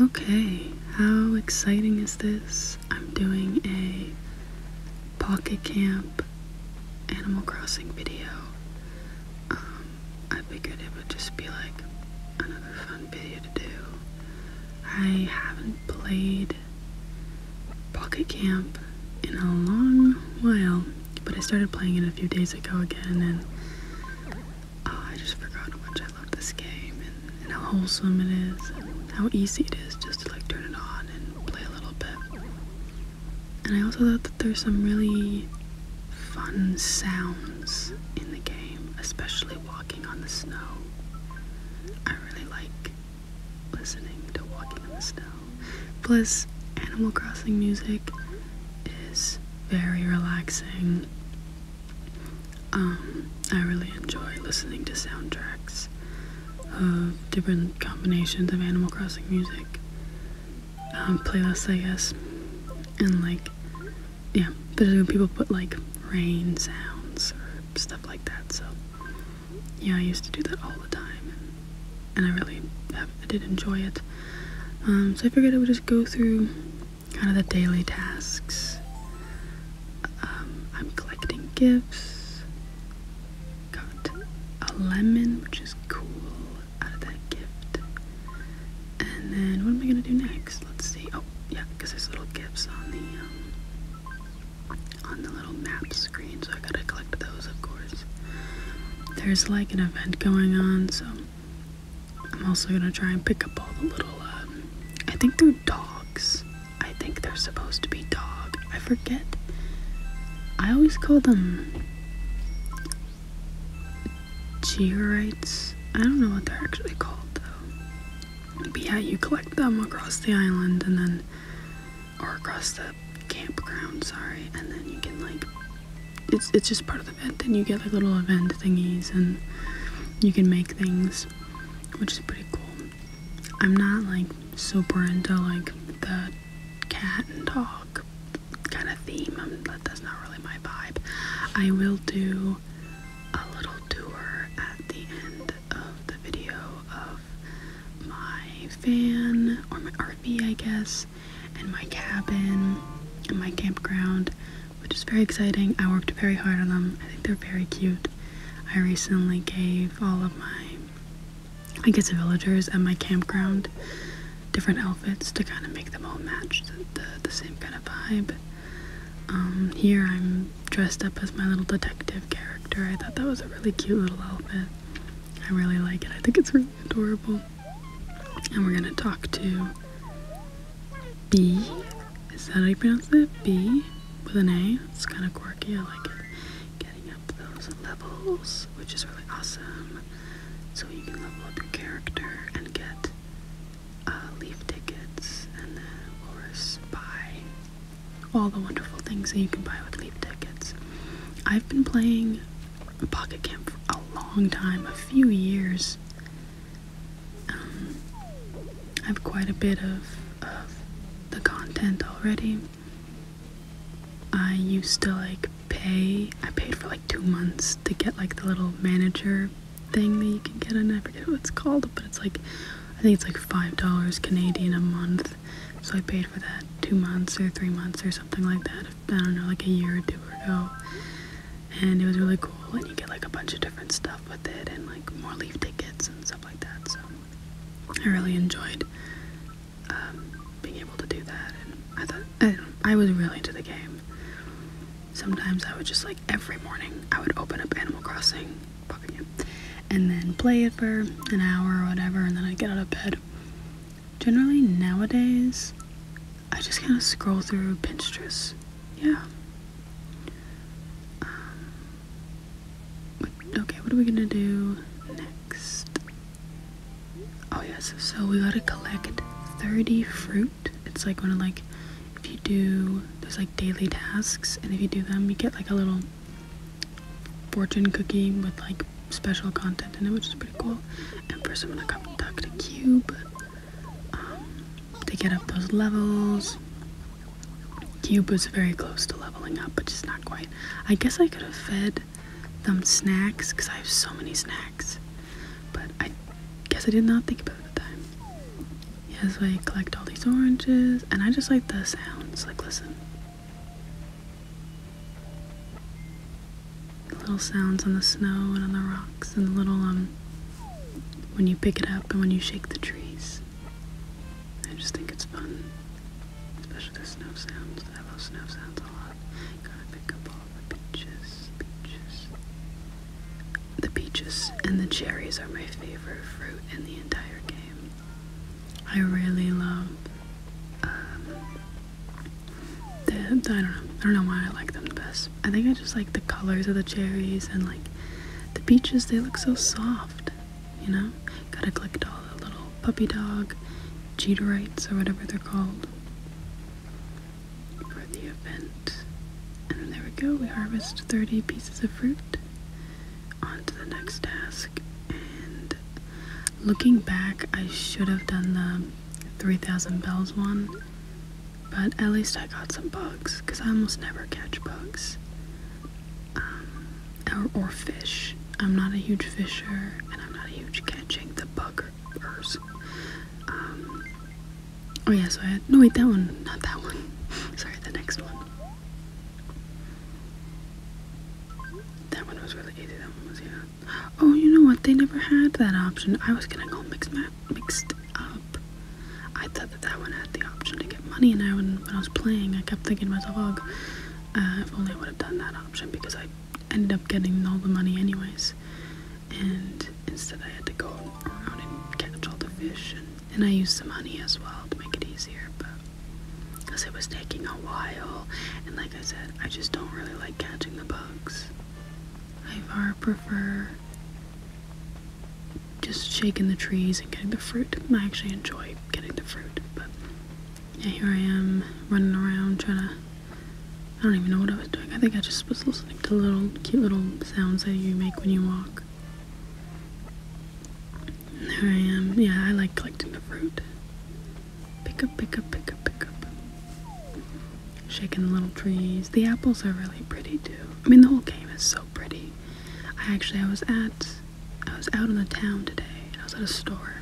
Okay, how exciting is this? I'm doing a Pocket Camp Animal Crossing video. Um, I figured it would just be like another fun video to do. I haven't played Pocket Camp in a long while, but I started playing it a few days ago again and Ah, I just forgot how much I love this game and how wholesome it is and how easy it is just to like turn it on and play a little bit. And I also thought that there's some really fun sounds in the game, especially walking on the snow. I really like listening to walking on the snow. Plus, Animal Crossing music is very relaxing um, I really enjoy listening to soundtracks of different combinations of Animal Crossing music. Um, playlists, I guess. And like, yeah, but when people put like rain sounds or stuff like that. So yeah, I used to do that all the time, and, I really I did enjoy it. Um, so I figured I would just go through kind of the daily tasks. Um, I'm collecting gifts. Got a lemon, which is cool, out of that gift. And then what am I gonna do next? Let's see. Oh, yeah, because there's little gifts on the um, on the little map screen, so I gotta collect those, of course. There's like an event going on, so I'm also gonna try and pick up all the little, um, I think they're dogs. I think they're supposed to be dog. I forget. I always call them georites. I don't know what they're actually called though. yeah, you collect them across the island and then, or across the campground, sorry, and then you can like it's it's just part of the event and you get like little event thingies and you can make things which is pretty cool i'm not like super into like the cat and dog kind of theme um, that's not really my vibe i will do a little tour at the end of the video of my fan or my rv i guess and my cabin and my campground, which is very exciting. I worked very hard on them. I think they're very cute. I recently gave all of my, I guess, villagers at my campground different outfits to kind of make them all match the, the, same kind of vibe. Um, here I'm dressed up as my little detective character. I thought that was a really cute little outfit. I really like it. I think it's really adorable. And we're gonna talk to B. Is that how you pronounce that? B with an A. It's kind of quirky. I like it. Getting up those levels, which is really awesome. So you can level up your character and get uh, leaf tickets, and then of course buy all the wonderful things that you can buy with leaf tickets. I've been playing Pocket Camp for a long time, a few years. Um, I have quite a bit of, of the content already. I used to like pay, I paid for like two months to get like the little manager thing that you can get, and I forget what it's called, but it's like, I think it's like $5 Canadian a month. So I paid for that two months or three months or something like that. I don't know, like a year or two ago. And it was really cool, and you get like a bunch of different stuff with it, and like more leaf tickets and stuff like that. So I really enjoyed um, being able to do that. And I thought I, was really into the game. Sometimes I would just like every morning I would open up Animal Crossing and then play it for an hour or whatever, and then I get out of bed. Generally, nowadays, I just kind of scroll through Pinterest. Yeah. Um, okay, what are we gonna do next? Oh yes, so, so we gotta collect 30 fruit. It's like one of like, if you do, there's like daily tasks, and if you do them, you get like a little fortune cookie with like special content in it, which is pretty cool. And for someone to come talk to Cube, um, they get up those levels. Cube was very close to leveling up, but just not quite. I guess I could have fed them snacks because I have so many snacks, but I guess I did not think about it at the time. Yeah, so I collect all these oranges, and I just like the sounds. Like, listen. Little sounds on the snow and on the rocks, and the little, um, when you pick it up and when you shake the trees. I just think it's fun, especially the snow sounds. I love snow sounds a lot. Gotta pick up all the peaches, peaches. The peaches and the cherries are my favorite fruit in the entire game. I really love um, I don't know. I don't know why I like them the best. I think I just like the colors of the cherries and like the peaches. They look so soft, you know. Gotta collect all the little puppy dog cheaterites or whatever they're called for the event. And there we go. We harvest 30 pieces of fruit. onto the next task, and looking back, I should have done the 3000 bells one, but at least I got some bugs because I almost never catch bugs um, or, fish. I'm not a huge fisher and I'm not a huge catching the buggers. Um, oh, yeah, so I had no, wait, that one, not that one. Sorry, the next one. That one was really easy. That one was, yeah. Oh, you know what? They never had that option. I was gonna go mixed up. I thought that that one had the option to get money, and I when, when I was playing, I kept thinking to myself, "Oh, if only I would have done that option because I ended up getting all the money anyways." And instead, I had to go around and catch all the fish, and, I used some money as well to make it easier, but because it was taking a while, and like I said, I just don't really like catching the bugs. I far prefer just shaking the trees and getting the fruit. I actually enjoy getting the fruit, but yeah, here I am running around trying to. I don't even know what I was doing. I think I just was listening to little cute little sounds that you make when you walk. And there I am. Yeah, I like collecting the fruit. Pick up, pick up, pick up, pick up. Shaking little trees. The apples are really pretty too. I mean, the whole game is so pretty. I actually, I was at, I was out in the town today. I was at a store.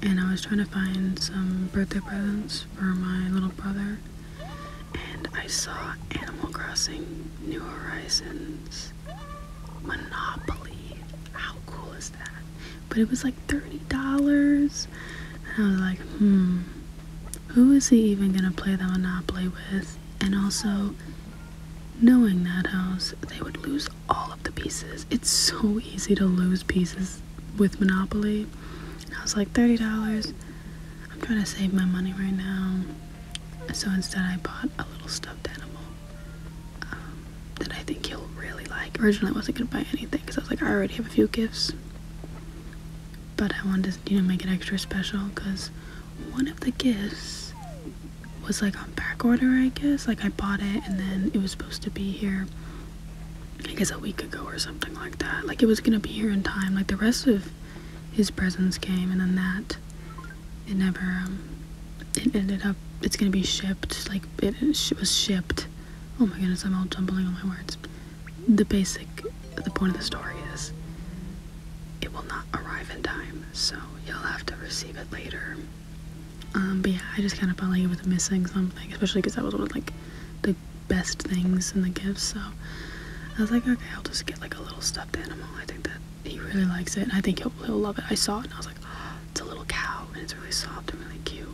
And I was trying to find some birthday presents for my little brother. And I saw Animal Crossing New Horizons Monopoly. How cool is that? But it was like $30. And I was like, hmm, who is he even going to play that Monopoly with? And also, knowing that house, they would lose all of the pieces. It's so easy to lose pieces with Monopoly. I was like, $30. I'm trying to save my money right now. So instead, I bought a little stuffed animal. Um, that I think he'll really like. Originally, I wasn't gonna buy anything because I was like, I already have a few gifts, but I wanted to, make it extra special because one of the gifts was like on back order, I guess. Like I bought it and then it was supposed to be here. I guess a week ago or something like that. Like it was gonna be here in time. Like the rest of his presents came, and then that it never um, it ended up it's gonna be shipped like it, was shipped oh my goodness i'm all jumbling all my words the basic the point of the story is it will not arrive in time so you'll have to receive it later um, but yeah i just kind of felt like it was missing something especially because that was one of like the best things in the gifts so i was like okay i'll just get like a little stuffed animal i think that he really likes it and i think he'll, he'll love it i saw it and i was like. Ah, it's a little cow and it's really soft and really cute.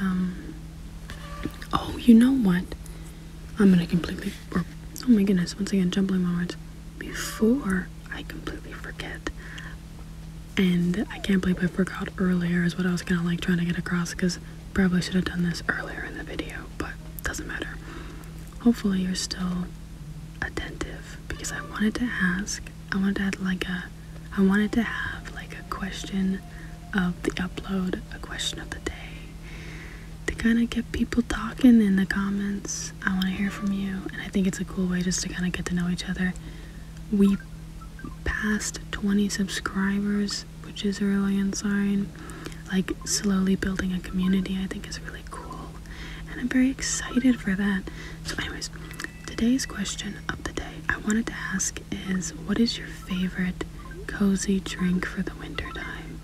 Um, oh, you know what? I'm gonna completely, oh my goodness, once again, jumbling my words. Before I completely forget, and I can't believe I forgot earlier, is what I was kind of like trying to get across because probably should have done this earlier in the video, but doesn't matter. Hopefully, you're still attentive because I wanted to ask I wanted to add like a I wanted to have like a question of the upload, a question of the day. To kind of get people talking in the comments. I want to hear from you and I think it's a cool way just to kind of get to know each other. We passed 20 subscribers, which is a really insane, Like slowly building a community I think is really cool and I'm very excited for that. So, anyways, today's question of the day I wanted to ask is what is your favorite cozy drink for the winter time?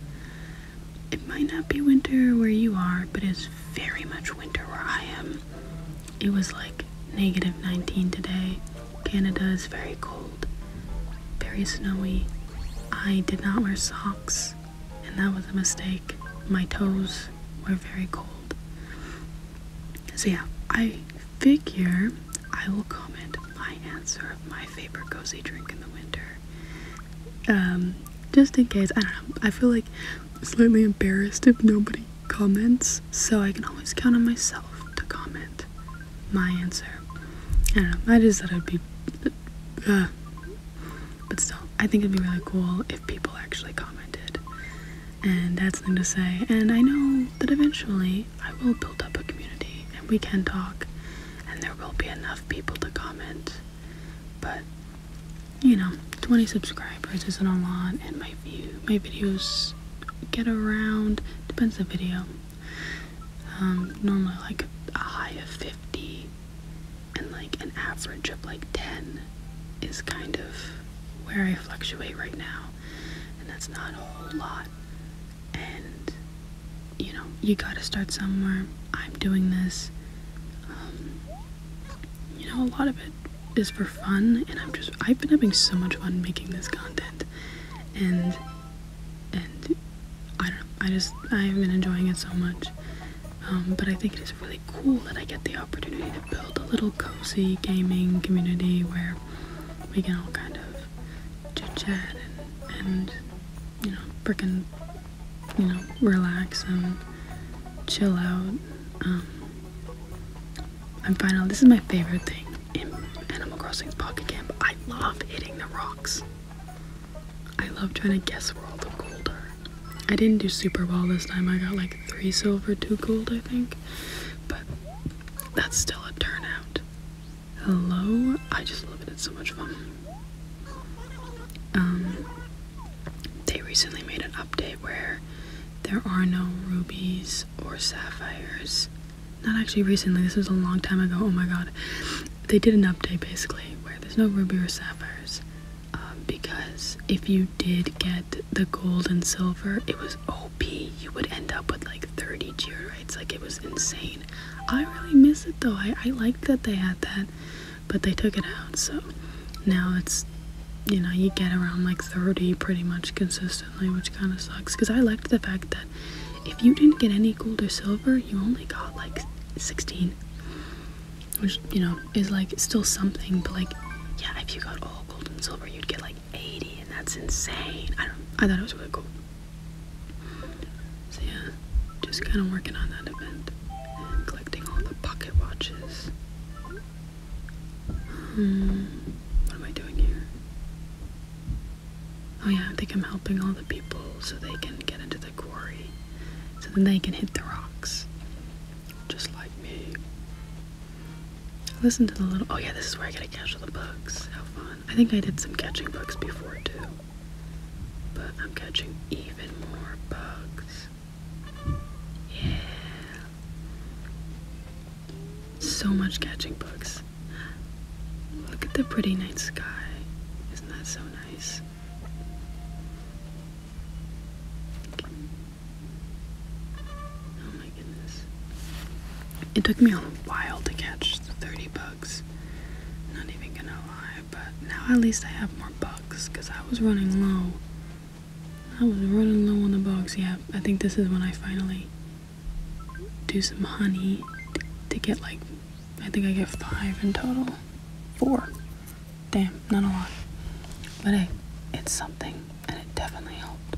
It might not be winter where you are, but it's very much winter where I am. It was like negative 19 today. Canada is very cold, very snowy. I did not wear socks and that was a mistake. My toes were very cold. So, yeah, I figure I will comment my answer of my favorite cozy drink in the winter. Um, just in case, I don't know, I feel like slightly embarrassed if nobody comments, so I can always count on myself to comment my answer. I don't know, I just thought it'd be. Uh, but still, I think it'd be really cool if people actually commented. And that's something to say. And I know that eventually I will build up a community and we can talk and there will be enough people to comment. But you know, 20 subscribers isn't a lot and my view my videos get around depends the video. Um, normally like a high of 50 and like an average of like 10 is kind of where I fluctuate right now, and that's not a whole lot. And you know, you gotta start somewhere. I'm doing this. Um, you know, a lot of it is for fun, and I'm just I've been having so much fun making this content, and and I don't I just I've been enjoying it so much, um, but I think it is really cool that I get the opportunity to build a little cozy gaming community where we can all kind of chit chat and, you know, frickin', you know, relax and chill out. Um, and finally, this is my favorite thing in Animal Crossing: Pocket Camp. I love hitting the rocks. I love trying to guess where all the gold are. I didn't do super well this time. I got like three silver, two gold, I think. But that's still a turnout. Hello? I just love it. It's so much fun. Um, they recently made an update where there are no rubies or sapphires. Not actually recently, this was a long time ago. Oh my god. They did an update basically where there's no ruby or sapphires. Um, because if you did get the gold and silver, it was OP. You would end up with like 30 rights. Like it was insane. I really miss it though. I, I liked that they had that, but they took it out. So now it's, you know, you get around like 30 pretty much consistently, which kind of sucks. Because I liked the fact that if you didn't get any gold or silver, you only got like 16 which you know is like still something but like yeah if you got all gold and silver you'd get like 80 and that's insane i don't i thought it was really cool so yeah just kind of working on that event and collecting all the pocket watches hmm, what am i doing here oh yeah i think i'm helping all the people so they can get into the quarry so then they can hit the rocks. Just like me. Listen to the little. Oh, yeah, this is where I get to catch all the bugs. How fun. I think I did some catching bugs before too. But I'm catching even more bugs. Yeah. So much catching bugs. Look at the pretty night sky. Isn't that so nice? Oh it took me a while to catch the 30 bugs. Not even gonna lie, but now at least I have more bugs because I was running low. I was running low on the bugs. Yeah, I think this is when I finally do some honey to get like I think I get five in total. Four. Damn, not a lot. But hey, it's something, and it definitely helped.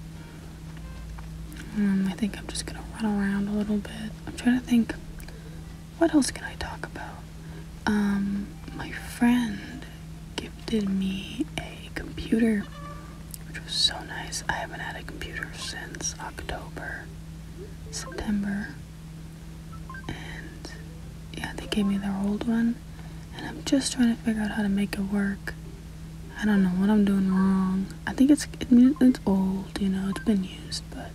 Um, I think I'm just gonna run around a little bit. I'm trying to think, what else can I talk about? Um, my friend gifted me a computer, which was so nice. I haven't had a computer since October, September, and yeah they gave me their old one and I'm just trying to figure out how to make it work I don't know what I'm doing wrong I think it's it's old you know it's been used but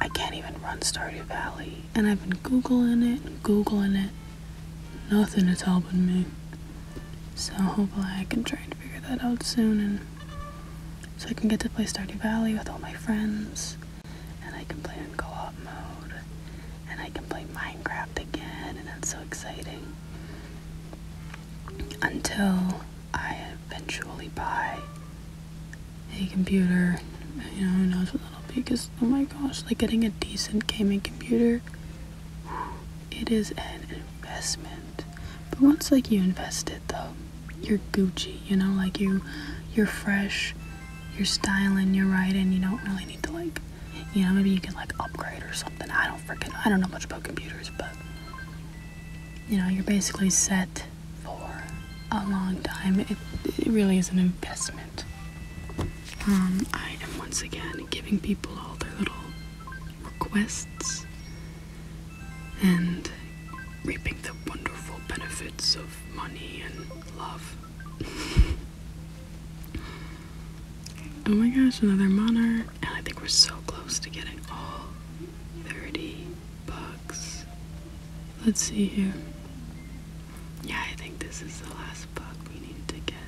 I can't even run Stardew Valley and I've been googling it googling it nothing is helping me so hopefully I can try and figure that out soon and so I can get to play Stardew Valley with all my friends and I can play in co-op mode, and I can play Minecraft again, and that's so exciting. Until I eventually buy a computer, you know, who knows what that'll be, because, oh my gosh, like getting a decent gaming computer, it is an investment. But once, like, you invest it, though, you're Gucci, you know, like you you're fresh, you're styling, you're right, and you don't really need to like you know, maybe you can like upgrade or something. I don't freaking I don't know much about computers, but you know, you're basically set for a long time. It, it really is an investment. Um, I am once again giving people all their little requests and reaping the wonderful benefits of money and love. oh my gosh, another monarch. And I think we're so close to getting all 30 bucks. Let's see here. Yeah, I think this is the last buck we need to get.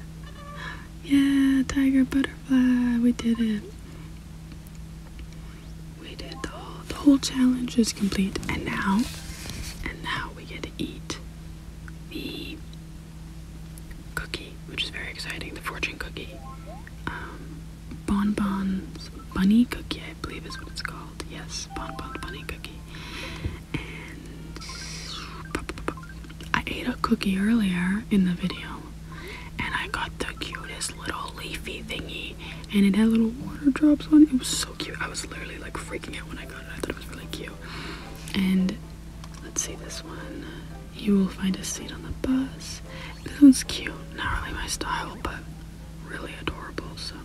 Yeah, tiger butterfly, we did it we did the whole, challenge is complete and now and now we get to eat the cookie which is very exciting the fortune cookie um, bonbons bunny cookie I believe is what it's called yes bonbons bunny cookie and I ate a cookie earlier in the video and I got the cutest little leafy thingy and it had little water drops on it. It was so cute. I was literally like freaking out when I got it. I thought it was really cute. And let's see this one. You will find a seat on the bus. This one's cute. Not really my style, but really adorable. So,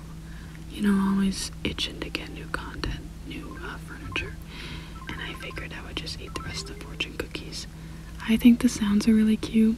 you know, always itching to get new content, new uh, furniture. And I figured I would just eat the rest of the fortune cookies. I think the sounds are really cute.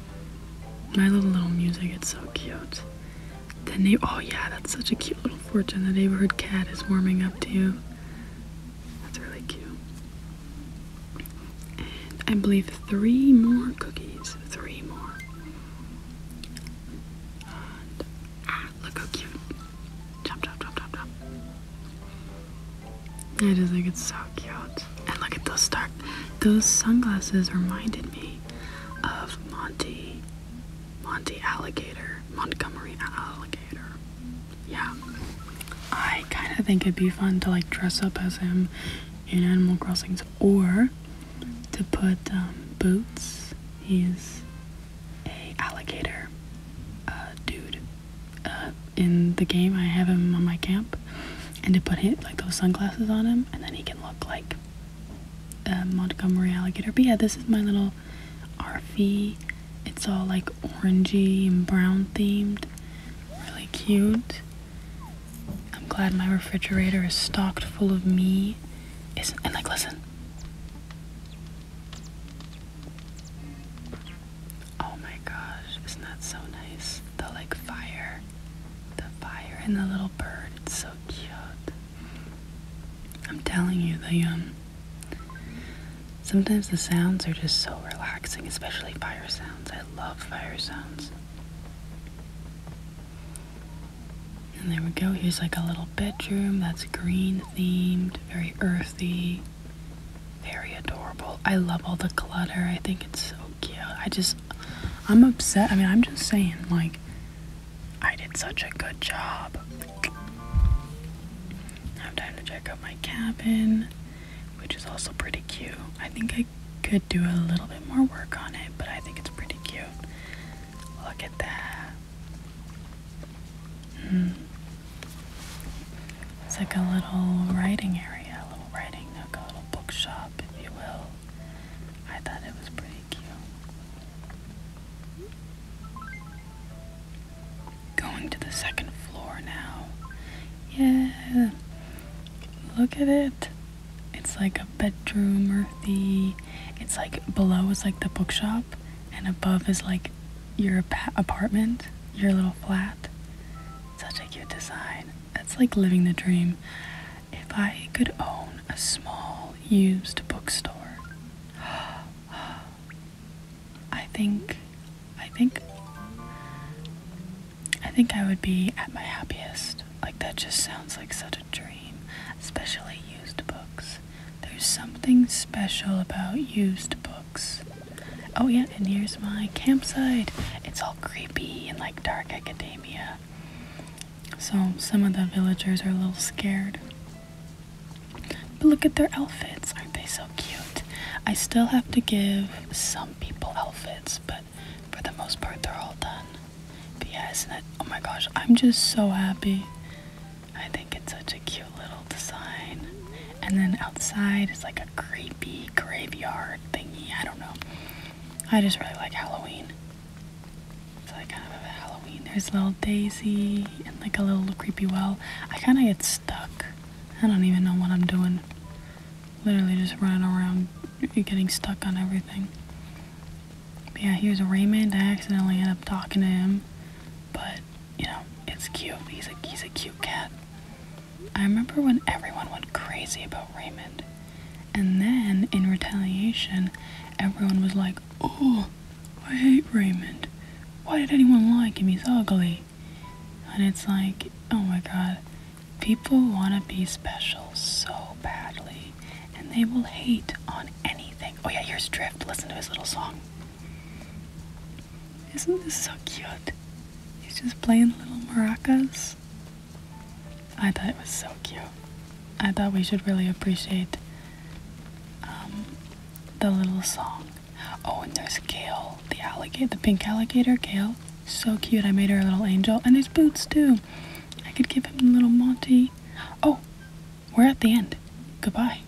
My love little music, it's so cute. The na- oh yeah, that's such a cute little fortune. The neighborhood cat is warming up to you. That's really cute. And I believe three more cookies. Three more. Ah, look how cute. Chop, chop, chop, chop, chop. I just think it's so cute. And look at those dark. Those sunglasses reminded me of Monty. Monty Alligator. Montgomery Alligator. Yeah. I kind of think it'd be fun to like dress up as him in Animal Crossings or to put um, Boots. He's a alligator uh, dude. Uh, in the game, I have him on my camp and to put like those sunglasses on him and then he can look like a um, Montgomery alligator. But yeah, this is my little RV. It's all like orangey and brown themed. Really cute. I'm glad my refrigerator is stocked full of me. Isn't and like listen. Oh my gosh, isn't that so nice? The like fire, the fire and the little bird, it's so cute. I'm telling you, the um, sometimes the sounds are just so relaxing, especially fire sounds. I love fire sounds. And there we go, here's like a little bedroom that's green themed, very earthy very adorable. I love all the clutter. I think it's so cute. I just, I'm upset. I mean, I'm just saying, like, I did such a good job. I'm time to check out my cabin, which is also pretty cute. I think I could do a little bit more work on it, but I think it's pretty cute. Look at that. Mm. It's like a little writing area, a little writing nook, a little bookshop, if you will. I thought it was pretty cute. Going to the second floor now. Yeah. Look at it. It's like a bedroom or the. It's like below is like the bookshop and above is like your apartment, your little flat. Such a cute design. That's like living the dream. If I could own a small used bookstore, I think, I think, I think I would be at my happiest. Like, that just sounds like such a dream, especially used books. There's something special about used books. Oh yeah, and here's my campsite. It's all creepy and like dark academia. So some of the villagers are a little scared. But look at their outfits. Aren't they so cute? I still have to give some people outfits, but for the most part they're all done. But yeah, isn't that oh my gosh, I'm just so happy. I think it's such a cute little design and then outside is like a creepy graveyard thingy. I don't know. I just really like Halloween. It's like kind of a Halloween. There's little Daisy and like a little creepy well. I kind of get stuck. I don't even know what I'm doing. Literally just running around getting stuck on everything. But yeah, here's Raymond. I accidentally end up talking to him. But, you know, it's cute. He's a, he's a cute cat. I remember when everyone went crazy about Raymond. And then, in retaliation, everyone was like, Oh, I hate Raymond. Why did anyone like him? He's ugly. And it's like, oh my god, people want to be special so badly. And they will hate on anything. Oh yeah, here's Drift. Listen to his little song. Isn't this so cute? He's just playing little maracas. I thought it was so cute. I thought we should really appreciate um, the little song. Oh, and there's Gale, the alligator, the pink alligator, Gale. So cute. I made her a little angel. And his boots, too. I could give him a little Monty. Oh, we're at the end. Goodbye.